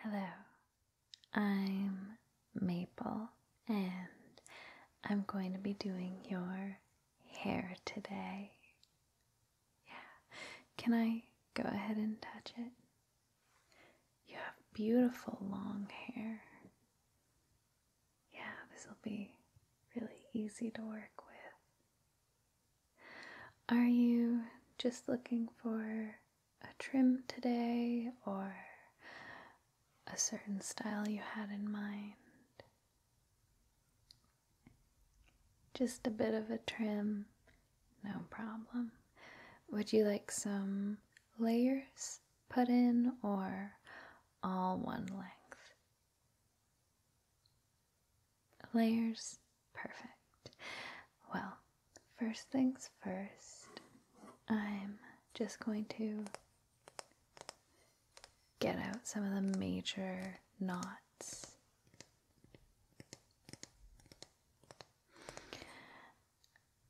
Hello, I'm Maple, and I'm going to be doing your hair today. Yeah, can I go ahead and touch it? You have beautiful long hair. Yeah, this will be really easy to work with. Are you just looking for a trim today or a certain style you had in mind? Just a bit of a trim, no problem. Would you like some layers put in or all one length? Layers, perfect. Well, first things first, I'm just going to get out some of the major knots.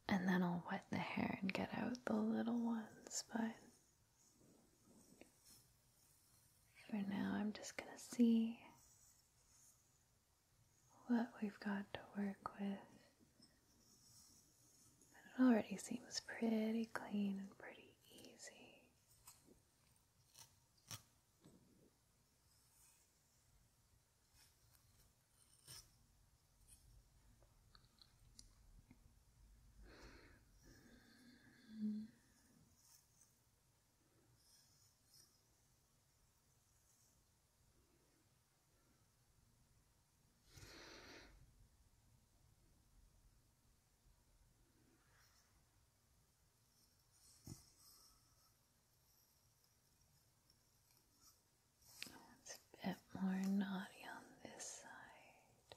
And then I'll wet the hair and get out the little ones, but for now, I'm just going to see what we've got to work with. It already seems pretty clean and pretty easy. It's a bit more naughty on this side.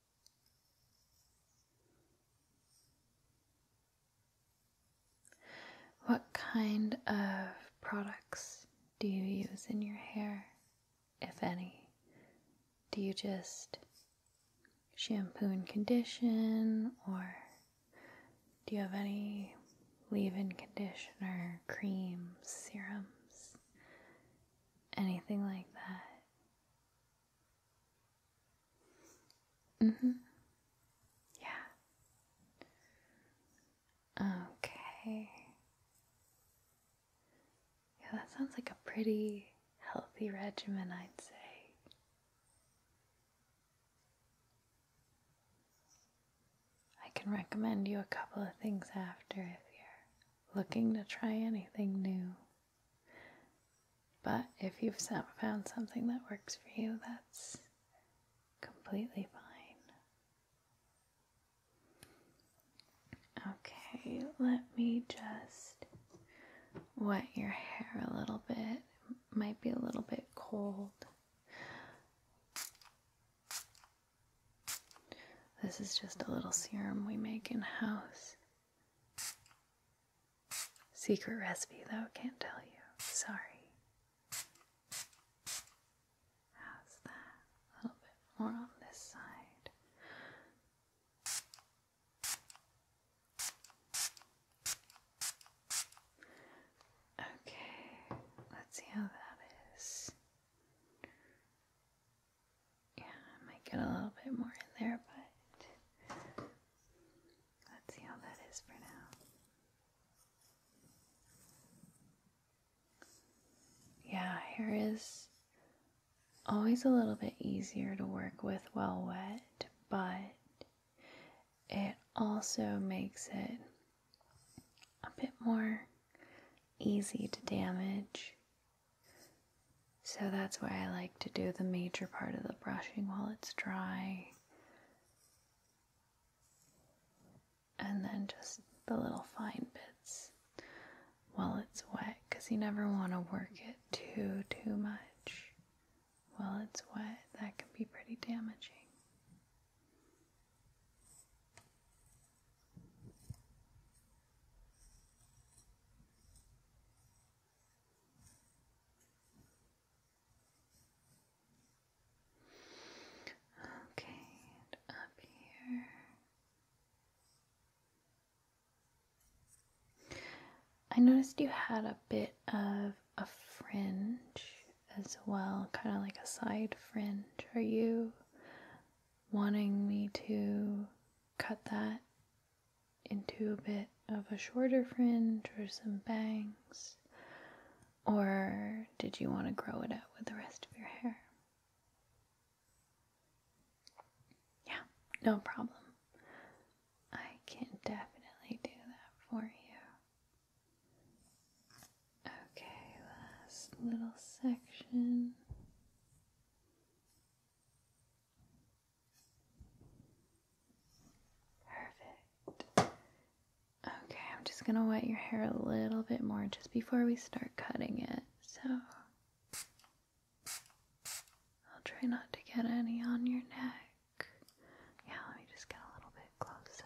What kind of products do you use in your hair, if any? Do you just shampoo and condition, or do you have any leave in conditioner, creams, serums, anything like that. Mm hmm. Yeah. Okay. Yeah, that sounds like a pretty healthy regimen, I'd say. I can recommend you a couple of things after if you're looking to try anything new. But if you've found something that works for you, that's completely fine. Okay, let me just wet your hair a little bit. might be a little bit cold. This is just a little serum we make in house. Secret recipe, though, can't tell you. Sorry. How's that? A little bit more on this side. Okay, let's see how that is. Yeah, I might get a little bit more in there, but let's see how that is for now. Yeah, hair is always a little bit easier to work with well wet, but it also makes it a bit more easy to damage so that's why I like to do the major part of the brushing while it's dry. And then just the little fine bits while it's wet because you never want to work it too, too much. While it's wet, that can be pretty damaging. Okay, up here. I noticed you had a bit of a fringe as well, kind of like a side fringe. Are you wanting me to cut that into a bit of a shorter fringe or some bangs? Or did you want to grow it out with the rest of your hair? Yeah, no problem. I can definitely do that for you. Okay, last little section. Perfect. Okay, I'm just going to wet your hair a little bit more just before we start cutting it. So I'll try not to get any on your neck. Yeah, let me just get a little bit closer.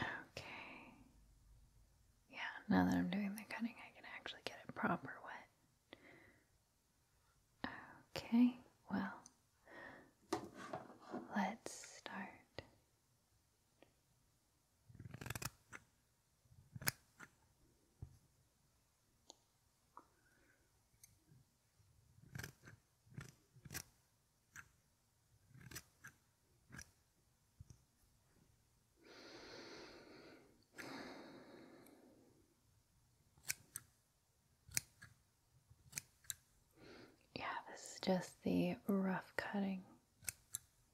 Okay. Yeah, now that I'm doing the cutting, I can actually get it proper wet. Okay, well, let's start yeah, this is just the rough cutting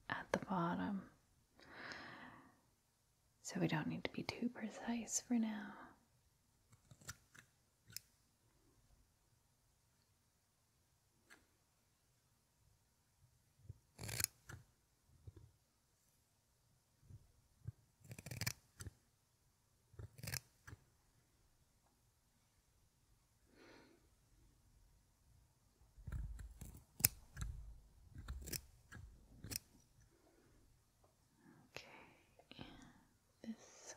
at the bottom. So we don't need to be too precise for now. Okay, and this side.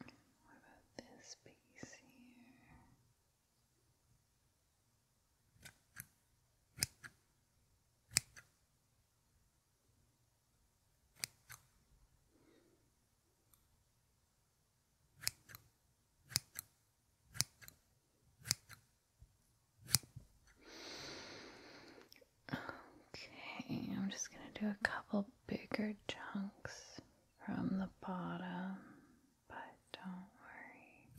What about this piece here? Okay, I'm just going to do a couple bigger chunks from the bottom, but don't worry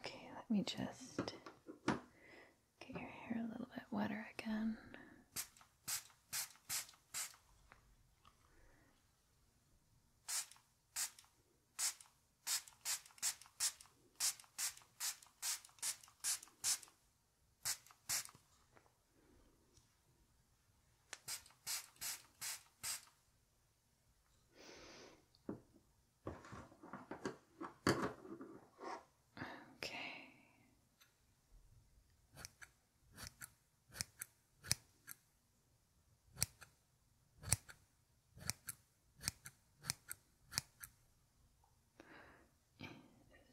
Okay, let me just get your hair a little bit wetter again. Okay. And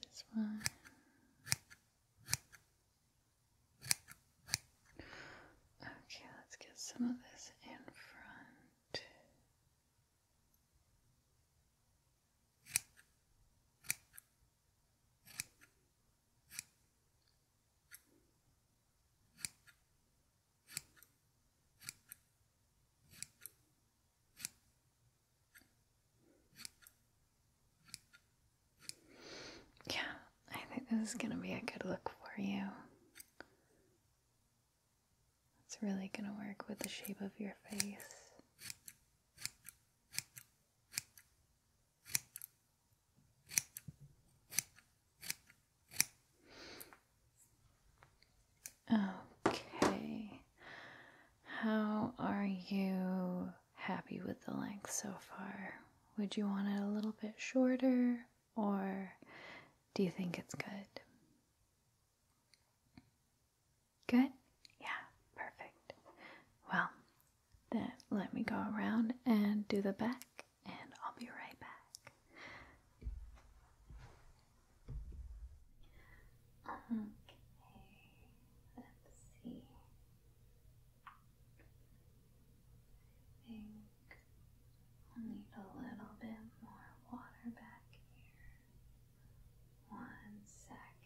this one. Okay, let's get some of this in front. Yeah, I think this is going to be a good look for you. It's really going to work with the shape of your face. Okay. How are you happy with the length so far. Would you want it a little bit shorter, or do you think it's good? Good? Yeah, perfect. Well, then let me go around and do the back, and I'll be right back. Okay, let's see. I think we'll need a little bit more water back here. One second.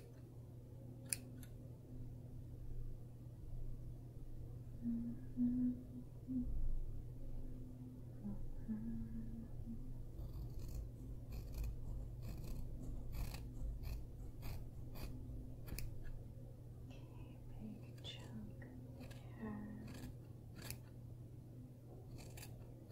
Okay, big chunk there. Okay,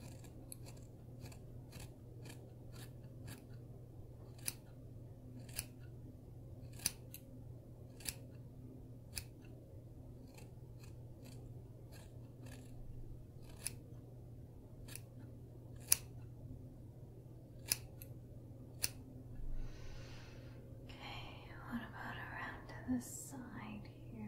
what about around to the side here?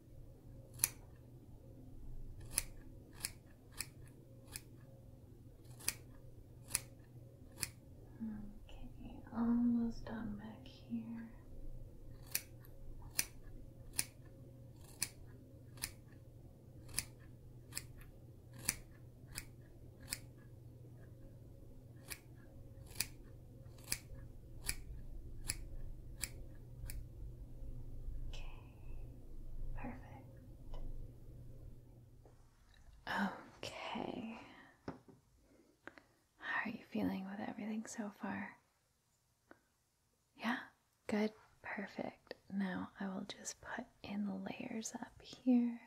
Okay, almost done back here. Okay, perfect. Okay. How are you feeling with everything so far? Yeah, good, perfect. Now I will just put in the layers up here.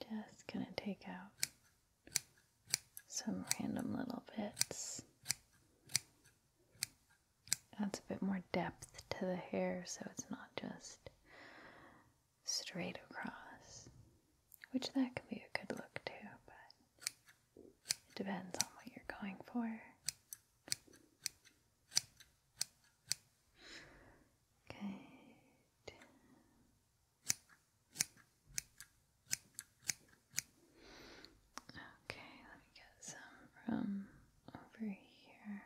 Just gonna take out some random little bits. Adds a bit more depth to the hair so it's not just straight across, which that can be a good look too, but it depends on what you're going for. Good. Okay, let me get some from over here.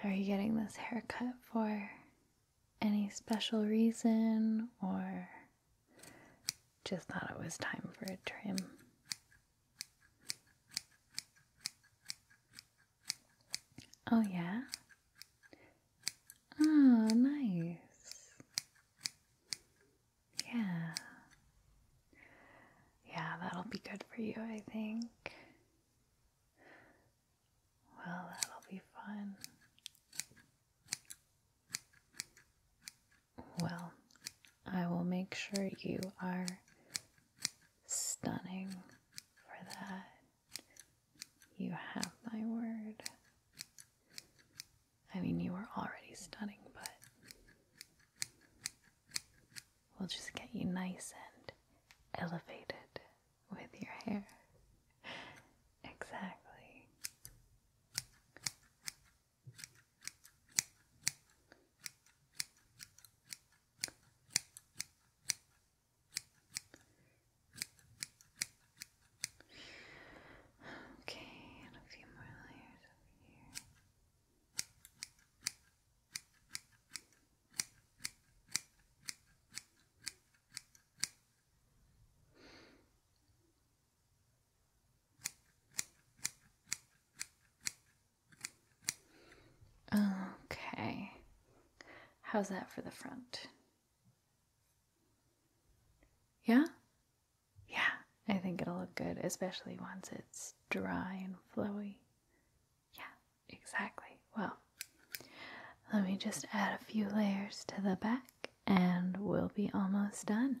So are you getting this haircut for any special reason or just thought it was time for a trim? Oh, yeah? Oh, nice. Yeah. Yeah, that'll be good for you, I think. Well, that'll be fun. Well, I will make sure you are stunning for that. You have my word. I mean, you are already stunning, but we'll just get you nice and elevated with your hair. Exactly. Okay, and a few more layers over here. Okay. Okay. How's that for the front? Yeah? Yeah, I think it'll look good, especially once it's dry and flowy. Yeah, exactly. Well, let me just add a few layers to the back and we'll be almost done.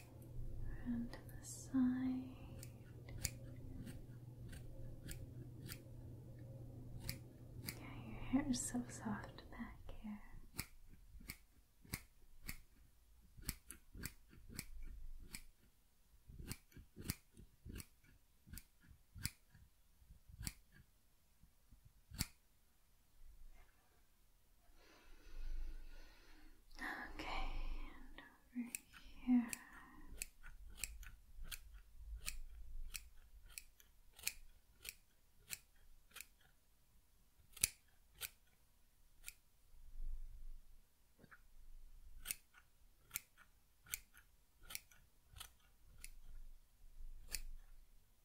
around the side. Yeah, your hair is so soft back here. Okay, and over here.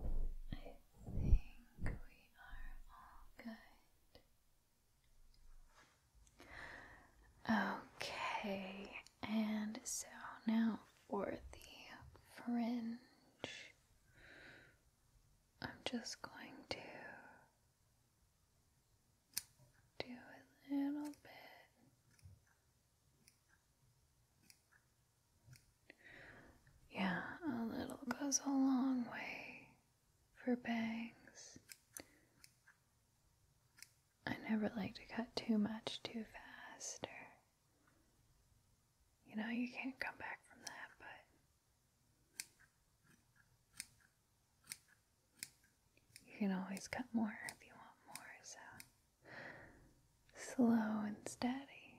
I think we are all good. Okay, and so now for the fringe. I'm just going to do a little bit yeah, a little goes a long way for bangs. I never like to cut too much too fast, you know, you can't come back from that, but you can always cut more if you want more, so slow and steady.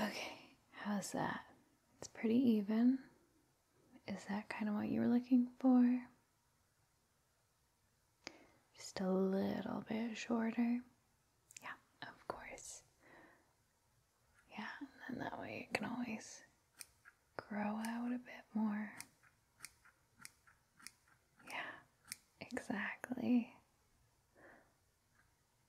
Okay, how's that? It's pretty even. Is that kind of what you were looking for? Just a little bit shorter. Yeah, of course. Yeah, and then that way it can always grow out a bit more. Yeah, exactly.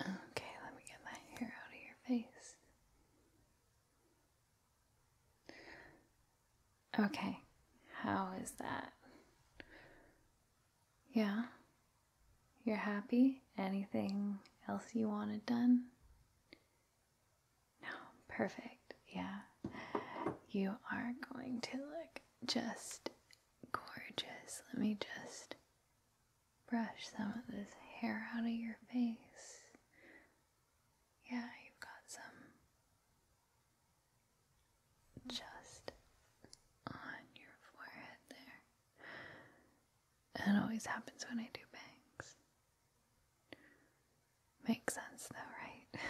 Okay, let me get that hair out of your face. Okay, how is that? Yeah. You're happy? Anything else you want it done? No, perfect. Yeah. You are going to look just gorgeous. Let me just brush some of this hair out of your face. Yeah, you've got some just on your forehead there. And it always happens when I do bangs. Makes sense though, right?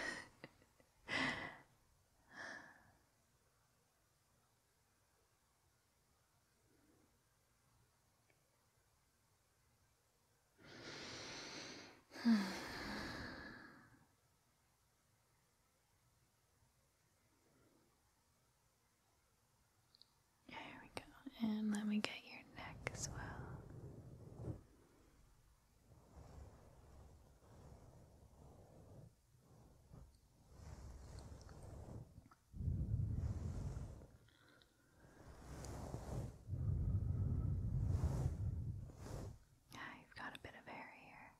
There we go. And let me get your neck as well. Yeah, you've got a bit of hair here.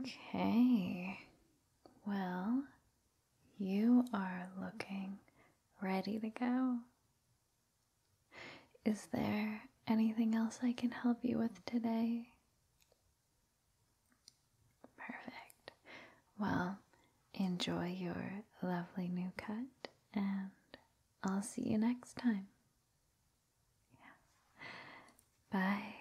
Okay. Well, you are looking ready to go. Is there anything else I can help you with today? Perfect. Well, enjoy your lovely new cut, and I'll see you next time. Yeah. Bye.